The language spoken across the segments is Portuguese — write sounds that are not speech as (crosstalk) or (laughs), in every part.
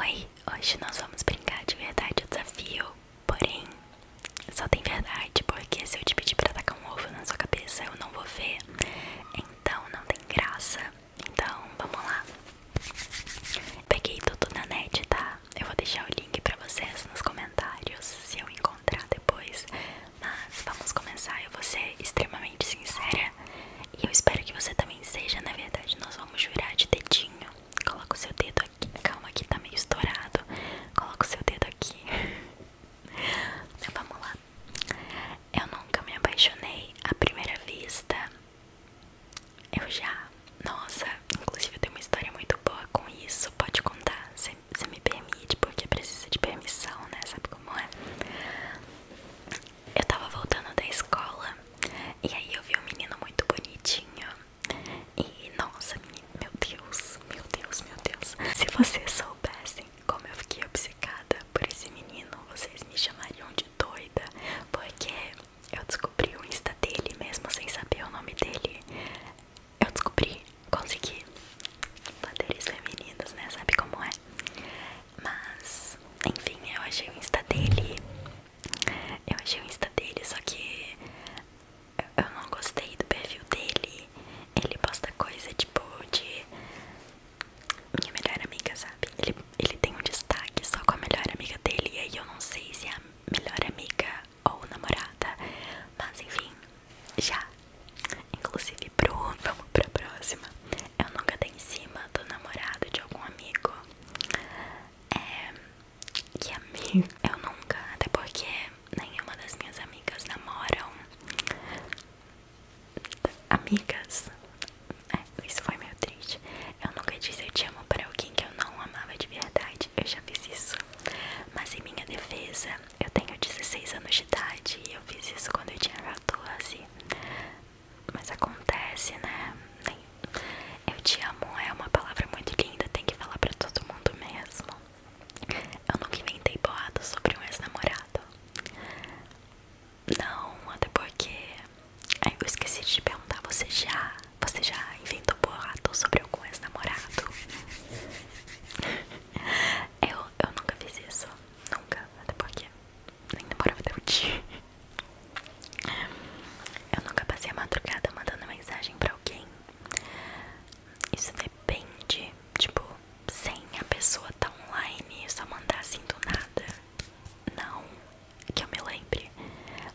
Oi, hoje nós vamos brincar de verdade o desafio, porém só tem verdade, porque se eu te pedir pra tacar um ovo na sua cabeça eu não vou ver, então não tem graça, então vamos lá. Peguei tudo na net, tá? Eu vou deixar o link pra vocês nos comentários, se eu encontrar depois, mas vamos começar, eu vou ser extremamente sincera e eu espero que você também seja, na verdade, nós vamos jurar de dedinho. Coloca o seu dedo aqui. Calma que tá meio estourado. Coloca o seu dedo aqui. Então, (laughs) vamos lá. Eu nunca me apaixonei à primeira vista. Eu já. Nossa, inclusive eu tenho uma história muito boa com isso. Pode contar. Você me permite, porque precisa de permissão, né? Sabe como é? Eu tava voltando da escola e aí eu vi um menino muito bonitinho. E nossa, meu Deus, meu Deus, meu Deus. Se vocês soubessem como eu fiquei obcecada por esse menino, vocês me chamariam de doida, porque eu descobri o Insta dele mesmo sem saber o nome dele. Eu descobri, consegui. Poderes femininos, né? Sabe como é? Mas, enfim, eu achei o Insta dele. Eu achei o Insta dele, só que eu não gostei do perfil dele. Ele posta coisa tipo de minha melhor amiga, sabe? Ele, ele tem um destaque só com a melhor amiga dele. E aí eu não sei se é a melhor amiga ou namorada. Mas enfim, já. Inclusive, pronto vamos pra próxima eu nunca dei em cima do namorado de algum amigo. É. Que amigo? Eu nunca, até porque nenhuma das minhas amigas namoram. Amigas? É, isso foi meio triste. Eu nunca disse eu te amo para alguém que eu não amava de verdade. Eu já fiz isso. Mas em minha defesa, eu tenho 16 anos de idade e eu fiz isso quando eu tinha 14. Mas acontece, né? Eu te amo é uma palavra muito linda, tem que falar pra todo mundo mesmo. Eu nunca inventei boato sobre um ex-namorado. Não, até porque. Eu esqueci de te perguntar, você já. Você já inventou boato sobre algum ex-namorado? (laughs) eu, eu nunca fiz isso. Nunca, até porque nem demorava até o dia. Eu nunca passei a madrugada mandando mensagem pra alguém. Isso depende, tipo, sem a pessoa tá online, só mandar assim do nada. Não, que eu me lembre.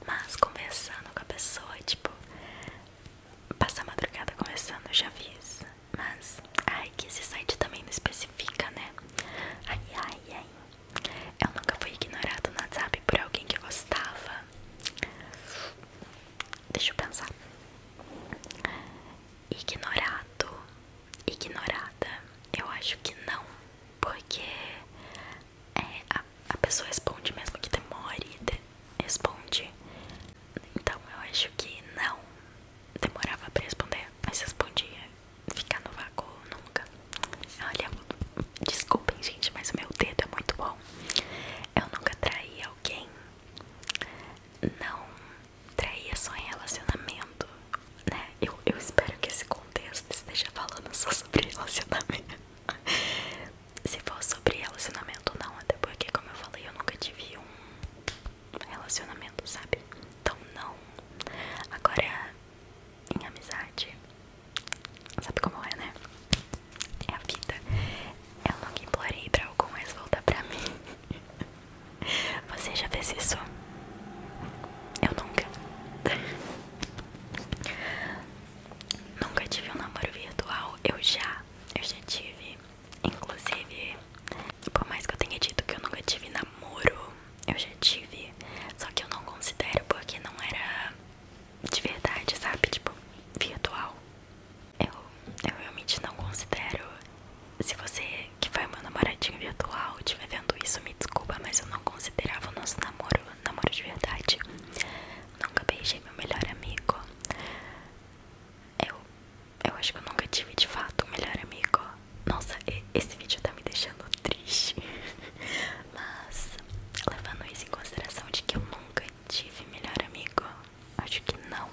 Mas conversando com a pessoa, tipo, passar a madrugada conversando, eu já fiz. Mas, ai, que esse site também não especifica, né? Ai, ai, ai. Eu nunca fui ignorado no WhatsApp por alguém que gostava. Deixa eu pensar. Ignorado, ignorada. Eu acho que não, porque é, a, pessoa responde mesmo que demore, de, responde. Então eu acho que não demorava pra responder, mas respondia ficar no vácuo nunca. Olha, desculpem, gente, mas meu dedo é muito bom. Eu nunca traí alguém. Não traía só em relacionamento, né? Eu, eu espero que esse contexto esteja falando só sobre relacionamento. Se for sobre relacionamento, não, até porque, como eu falei, eu nunca tive um relacionamento, sabe? Então não. Agora em amizade. Sabe como é, né? É a vida. Eu nunca implorei pra algum mais voltar pra mim. (laughs) Você já fez isso? Eu nunca. nunca tive um namoro virtual. Eu já. Eu já tive. Inclusive, por mais que eu tenha dito que eu nunca tive namoro, eu já tive. Só que eu não considero porque não era de verdade, sabe? Tipo, virtual. Eu, eu realmente não considero. Se você, que foi meu namoradinho virtual, estiver vendo isso, me desculpa, mas eu não considerava o nosso namoro namoro de verdade. Nunca beijei meu melhor amigo. Eu eu acho que eu nunca tive de fato um melhor amigo. Nossa, esse vídeo tá me deixando triste. (laughs) Mas, levando isso em consideração de que eu nunca tive melhor amigo, acho que não.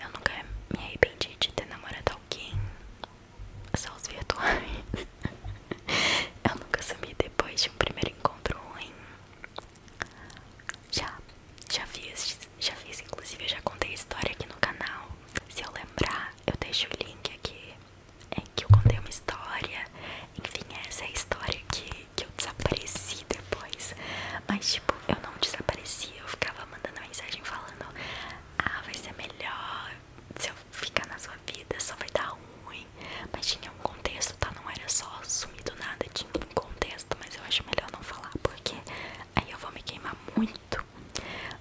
Eu nunca me arrependi de ter namorado alguém. Só os virtuais. (laughs) eu nunca sumi depois de um primeiro encontro ruim. Já já fiz, já fiz, inclusive eu já contei a história aqui no canal. Se eu lembrar, eu deixo o link aqui em que eu contei uma história. Enfim, essa é a história que, que eu desapareci depois. Mas tipo, eu não desapareci, eu ficava mandando mensagem falando, ah, vai ser melhor se eu ficar na sua vida, só vai dar ruim. Mas tinha um contexto, tá? Não era só sumir do nada, tinha um contexto, mas eu acho melhor não falar, porque Aí eu vou me queimar muito.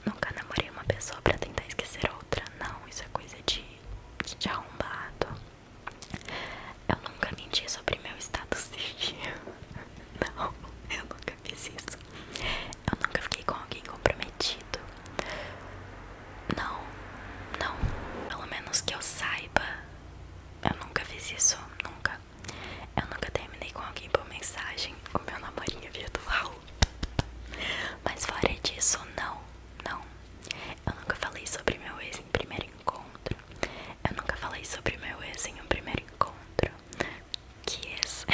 Nunca namorei uma pessoa pra tentar esquecer outra. Não, isso é coisa de, de arrombado. Eu nunca menti sobre meu status civil. (laughs) Não, eu nunca fiz isso. Eu nunca fiquei com alguém comprometido. Não, não. Pelo menos que eu saiba. Eu nunca fiz isso. Nunca, eu nunca terminei com alguém por mensagem, com meu namorinho é virtual. Mas fora disso, não, não. Eu nunca falei sobre meu ex em primeiro encontro. Eu nunca falei sobre meu ex em um primeiro encontro. Que ex?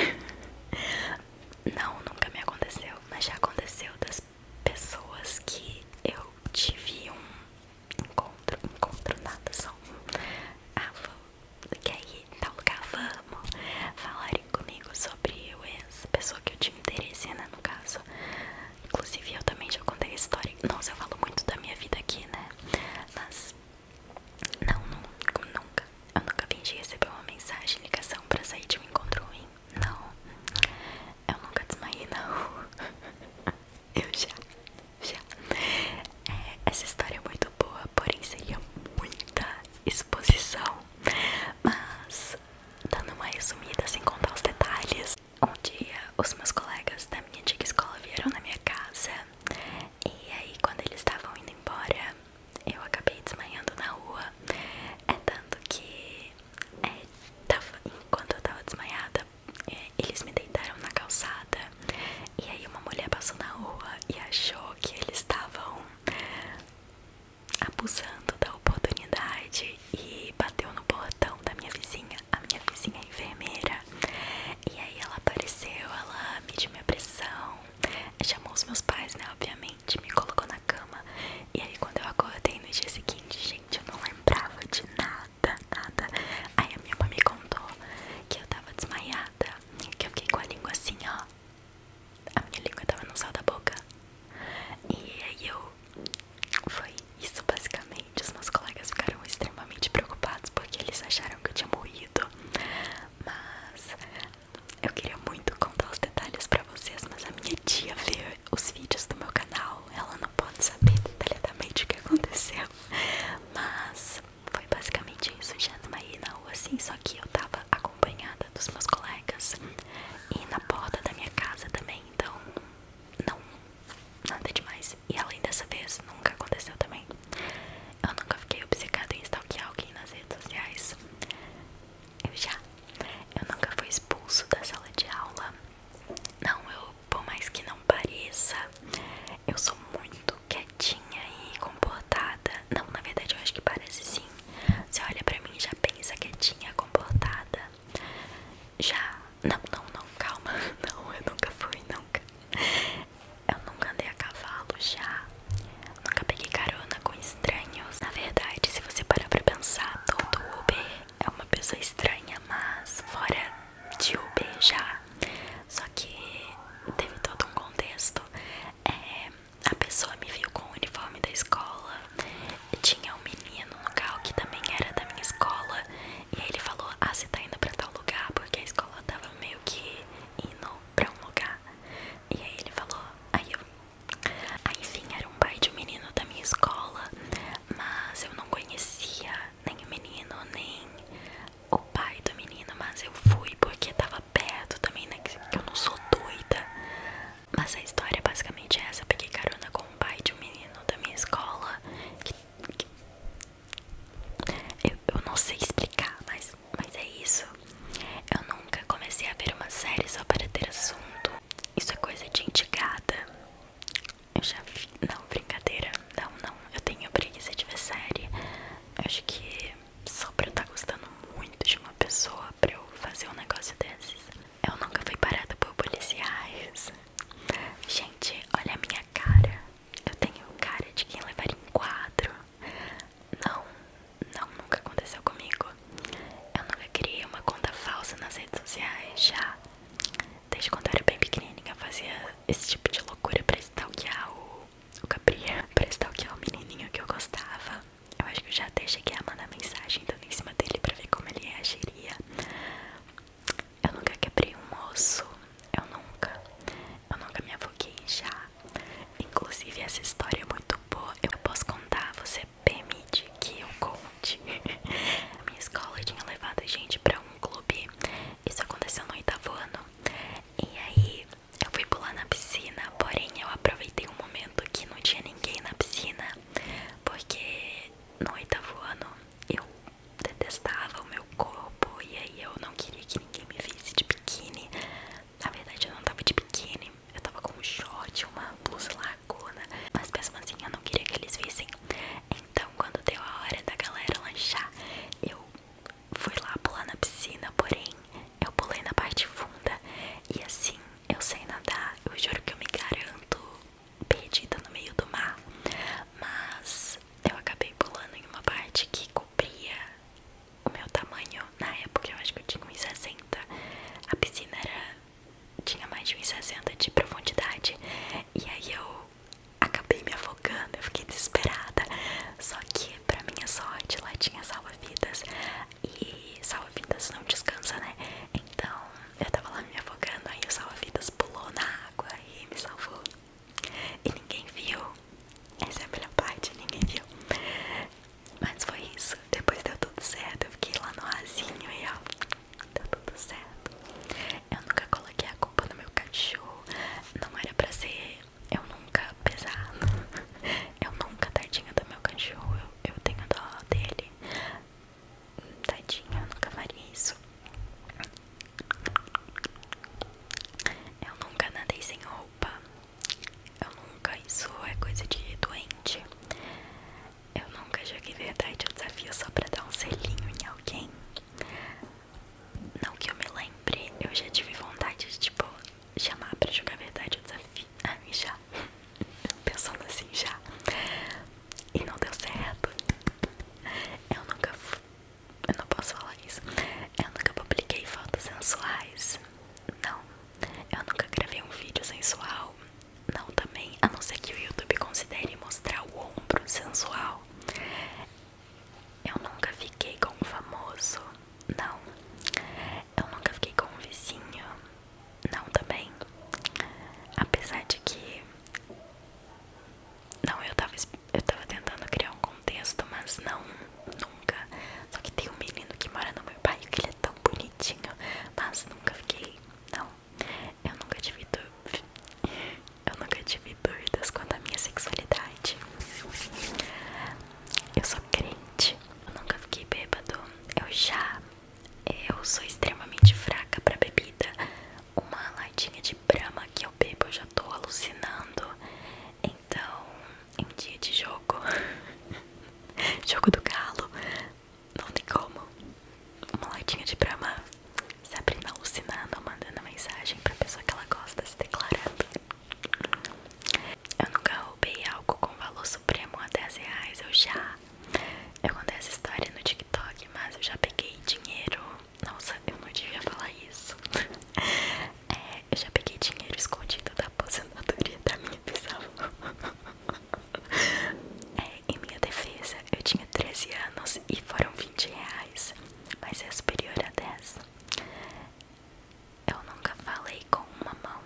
(laughs) Não, nunca me aconteceu, mas já aconteceu das pessoas que eu tive um encontro, encontro nada, só ah, vou, que aí em tal lugar vamos falarem comigo sobre o ex, pessoa que eu tive interesse, né, no caso inclusive eu também já contei a história, nossa, eu falo muito da minha vida aqui, né, mas não, nunca, eu nunca vi de receber uma mensagem, ligação pra sair de um encontro ruim, não eu nunca desmaiei, não (laughs) Eu já, já. É, essa história é muito boa, porém seria muita exposição. Mas, dando uma resumida, sem contar os detalhes. Um dia, os meus colegas da minha antiga escola vieram na minha casa. E aí, quando eles estavam indo embora, eu acabei desmaiando na rua. É tanto que, é, enquanto eu tava desmaiada é, eles me deitaram na calçada e aí uma mulher passou na rua e achou que eles estavam abusando da oportunidade e bateu no portão da minha vizinha, a minha vizinha é enfermeira. E aí ela apareceu, ela mediu minha pressão, chamou os meus pais, né, obviamente, me colocou na cama. E aí quando eu acordei no dia seguinte, gente, eu não lembrava de nada nada, nada. Aí a minha mãe me contou que eu tava desmaiada, que eu fiquei com a língua assim, ó. A minha língua tava no céu da boca. E aí eu. Foi isso basicamente. Os meus colegas ficaram extremamente preocupados porque eles acharam que eu tinha morrido. Mas eu queria muito contar os detalhes pra vocês. Mas a minha tia vê os vídeos do meu canal. Ela não pode saber detalhadamente o que aconteceu. Mas foi basicamente isso. Já aí é na rua, assim, só que eu tava acompanhada dos meus colegas e na porta da minha casa também. Então, não, nada demais. E além dessa vez, nunca aconteceu também. Eu nunca fiquei obcecada em stalkear alguém nas redes sociais. Eu já. Eu nunca fui expulso da sala de aula. Não, eu por mais que não pareça, eu sou muito quietinha e comportada. Não, na verdade eu acho que parece sim. Você olha pra mim e já pensa quietinha, comportada. Já. Não, não, não, calma. (laughs) Não, eu nunca fui, nunca. Eu nunca andei a cavalo já. Nunca peguei carona com estranhos. Na verdade, se você parar pra pensar, todo Uber é uma pessoa estranha, mas fora de o beijar. Só que teve todo um contexto. É, a pessoa me viu com o uniforme da escola. Tinha um menino no carro que também era da minha escola. E aí ele falou: Ah, você tá indo pra tal lugar? Porque a escola tava meio que indo pra um lugar. E aí ele falou: Aí eu. Aí, ah, enfim, era um pai de um menino da minha escola. Mas eu não conhecia nem o menino, nem o pai do menino, mas eu fui porque tava perto também, né? Que eu não sou doida. Mas a história é basicamente essa: eu peguei carona com o pai de um menino da minha escola. Que, Eu, eu não sei explicar, mas, mas é isso. Eu nunca comecei a ver uma série só para ter assunto. Isso é coisa de indigada. Eu já vi. Não, brincadeira. Não, não. Eu tenho preguiça de ver série. Eu acho que só pra eu estar tá gostando muito de uma pessoa pra eu fazer um negócio desses. Eu nunca fui parada por policiais. Gente, olha a minha cara. Eu tenho cara de quem levar em quadro. Não, não, nunca aconteceu comigo. Eu nunca criei uma conta falsa nas redes sociais já deixa quando eu era bem pequenininha, eu fazia esse tipo de loucura pra stalkear o, o Capri, pra stalkear o menininho que eu gostava. Eu acho que eu já até cheguei a mandar mensagem dando em cima dele pra ver como ele reagiria. Eu nunca quebrei um osso, eu nunca. Eu nunca me afoguei já. Inclusive, essa história é muito boa. Eu posso contar, você permite que eu conte. A minha escola tinha levado a gente pra um clube. Isso aconteceu no oitavo ano. E aí eu fui pular na piscina, porém eu aproveitei um momento que não tinha ninguém na piscina, porque no oitavo ano eu detestava o meu corpo e aí eu não queria que ninguém me visse de biquíni. Na verdade eu não tava de biquíni, eu tava com um short, uma blusa larga mas mesmo assim eu não queria que eles vissem. Então quando deu a hora da galera lanchar, eu fui lá pular na piscina, porém eu pulei na parte funda. E assim, eu sei nadar, eu juro que eu me garanto perdida no meio do mar. Mas eu acabei pulando em uma parte que cobria o meu tamanho. Na época eu acho que eu tinha uns 60. A piscina era tinha mais de 1,60 de profundidade. E aí eu acabei me afogando, eu fiquei desesperada. Só que, pra minha sorte, lá tinha salva-vidas. E salva-vidas não descansa, né? Então eu tava lá me afogando, aí o salva-vidas pulou na água e me salvou. E ninguém viu. Essa é a melhor parte, ninguém viu. Mas foi isso. Depois deu tudo certo. Eu fiquei lá no rasinho e ó. Tá tudo certo. Eu nunca coloquei a culpa no meu cachorro. Não era pra ser eu nunca pesado. Eu nunca, tadinha do meu cachorro. Eu, eu tenho dó dele. Tadinha, eu nunca faria isso. Eu nunca nadei sem roupa. Eu nunca. Isso é coisa de doente. Eu nunca joguei verdade ou desafio só pra dar um selinho em alguém. Não que eu me lembre, eu já tive vontade de, tipo, chamar pra jogar verdade ou desafio. Ah, (laughs) já. Pensando assim, já. E não deu certo. Eu nunca. Eu não posso falar isso. Eu nunca publiquei fotos sensuais. Não. Eu nunca gravei um vídeo sensual. Não também, a não ser que o YouTube considere mostrar o ombro sensual. Eu nunca fiquei com um famoso, não. Eu nunca fiquei com um vizinho, não também. Apesar de que não, eu tava eu tava tentando criar um contexto, mas não, nunca. Só que tem um menino que mora no meu bairro que ele é tão bonito mas nunca fiquei. Não, eu nunca tive dúvidas. Eu nunca tive dúvidas quanto à minha sexualidade. Eu sou crente, eu nunca fiquei bêbado. Eu já. Eu sou extremamente fraca pra bebida. Uma latinha de brama que eu bebo, eu já tô alucinando. Então, em dia de jogo, (laughs) jogo do galo, não tem como. Uma latinha de brama Sabrina alucinando, mandando mensagem pra pessoa que ela gosta, se declarando. Eu nunca roubei algo com valor supremo a 10 reais, eu já. Eu contei essa história no TikTok, mas eu já peguei dinheiro. Nossa, eu não devia falar isso. (laughs) é, eu já peguei dinheiro escondido da aposentadoria da minha bisavó. (laughs) (laughs) É, em minha defesa, eu tinha 13 anos e foram 20 reais, mas é superior a 10. Eu nunca falei com uma mão.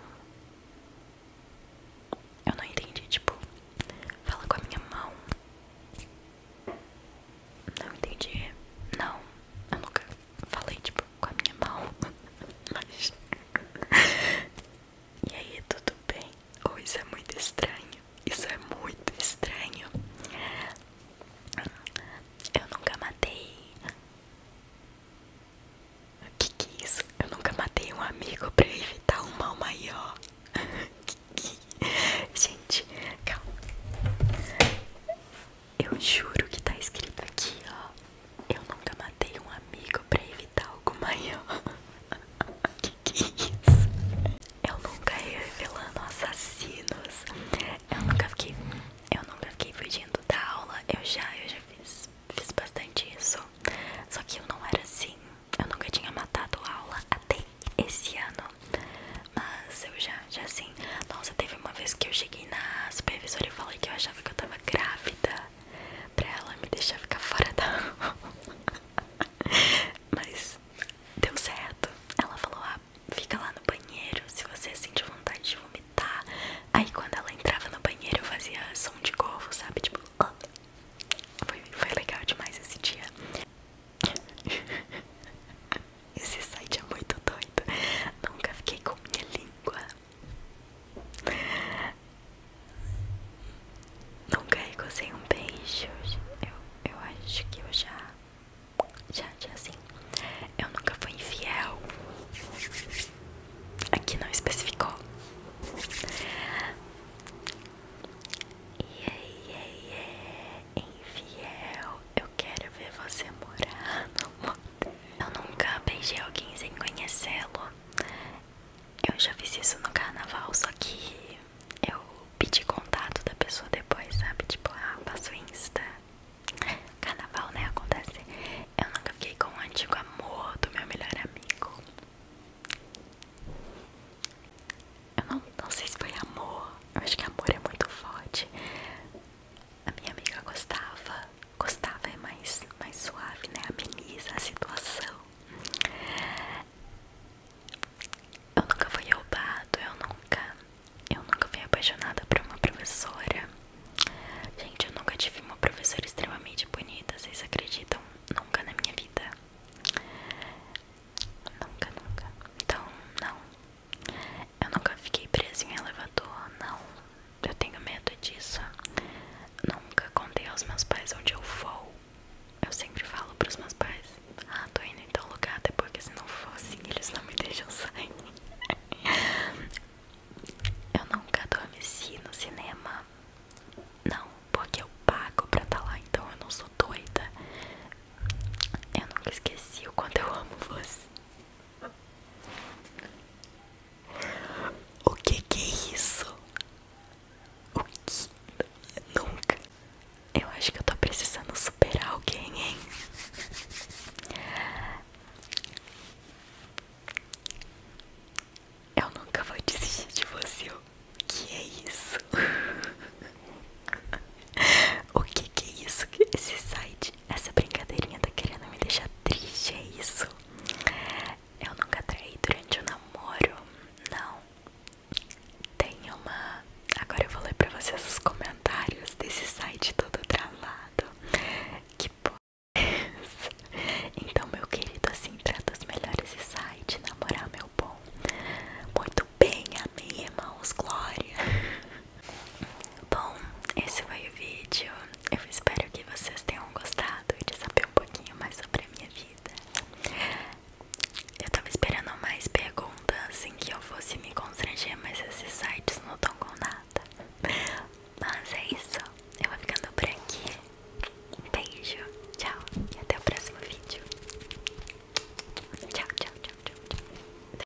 Eu não entendi, tipo, fala com a minha mão. Não entendi. Não, eu nunca falei, tipo, com a minha mão, mas. (laughs) E aí, tudo bem? Ou isso é muito estranho? Isso é muito estranho. Eu nunca matei. O que, que é isso? Eu nunca matei um amigo pra evitar um mal maior. (laughs) É? Gente, calma. Eu juro que tá escrito aqui, ó. Eu nunca matei um amigo pra evitar algo maior. (laughs) que que é isso? Eu nunca ia revelando assassinos. Eu nunca fiquei. Eu nunca fiquei fugindo da aula. Eu já, eu já fiz, fiz bastante isso. Só que eu não era assim. Eu nunca tinha matado a aula até esse ano. Mas eu já, já assim. Nossa, teve uma vez que eu cheguei na supervisora e falei que eu achava que eu tava grávida pra ela me deixar ficar fora da aula. (laughs) Mas deu certo. Ela falou: ah, fica lá no banheiro se você sentir vontade de vomitar. Aí quando ela entrava no banheiro, eu fazia som de corvo, sabe? Tipo, ah. foi, foi legal demais esse dia. (laughs) Esse site é muito doido. Nunca fiquei com minha língua nunca carrego sem um beijo. Eu, eu acho que eu já. Já, já sim. Eu nunca fui infiel. Aqui não especificou. Yeah, yeah, yeah. Infiel, eu quero ver você morar no motel. Eu nunca beijei alguém sem conhecê-lo. Eu já fiz isso no carnaval, só que eu pedi contato da pessoa depois, sabe? Tipo, ah, passo Insta. Carnaval, né? Acontece. Eu nunca fiquei com o antigo amor do meu melhor amigo. Eu não, não sei se foi amor. Eu acho que amor é muito forte a minha amiga gostava, gostava é mais, mais suave, né? Ameniza a situação. Eu nunca fui roubado, eu nunca, eu nunca fui apaixonada por uma professora. Gente, eu nunca tive uma professora extremamente bonita, vocês acreditam? Nunca na minha vida. Nunca, nunca. Então, não, eu nunca fiquei preso em elevador, não. Eu tenho medo disso. Nunca contei aos meus pais onde eu vou. Eu sempre falo pros meus pais: Ah, tô indo em tal lugar, até porque se não for, fosse, eles não me deixam sair. (laughs) eu nunca adormeci no cinema. Não, porque eu pago pra estar tá lá, então eu não sou doida. Eu nunca esqueci o quanto eu amo você. O que que é isso? O que? Nunca. Eu acho que eu tô precisando superar alguém, hein? Eu nunca vou desistir de você. O que é isso? (laughs) o que que é isso? Esse site essa brincadeirinha tá querendo me deixar triste, é isso? Eu nunca traí durante o namoro, não. Tem uma. Agora eu vou ler pra vocês os comentários desse site todo travado. Que porra (laughs) Então, meu querido, assim, trata os melhores sites namorar meu bom. Muito bem, amém, irmãos, glória. (laughs) Bom, esse foi o vídeo. Eu espero que vocês tenham gostado de saber um pouquinho mais sobre a minha vida. Eu tava esperando mais perguntas em que eu fosse me constranger, mas esses sites não estão com nada. Mas é isso. Eu vou ficando por aqui. Beijo, tchau e até o próximo vídeo. tchau, tchau, tchau. tchau.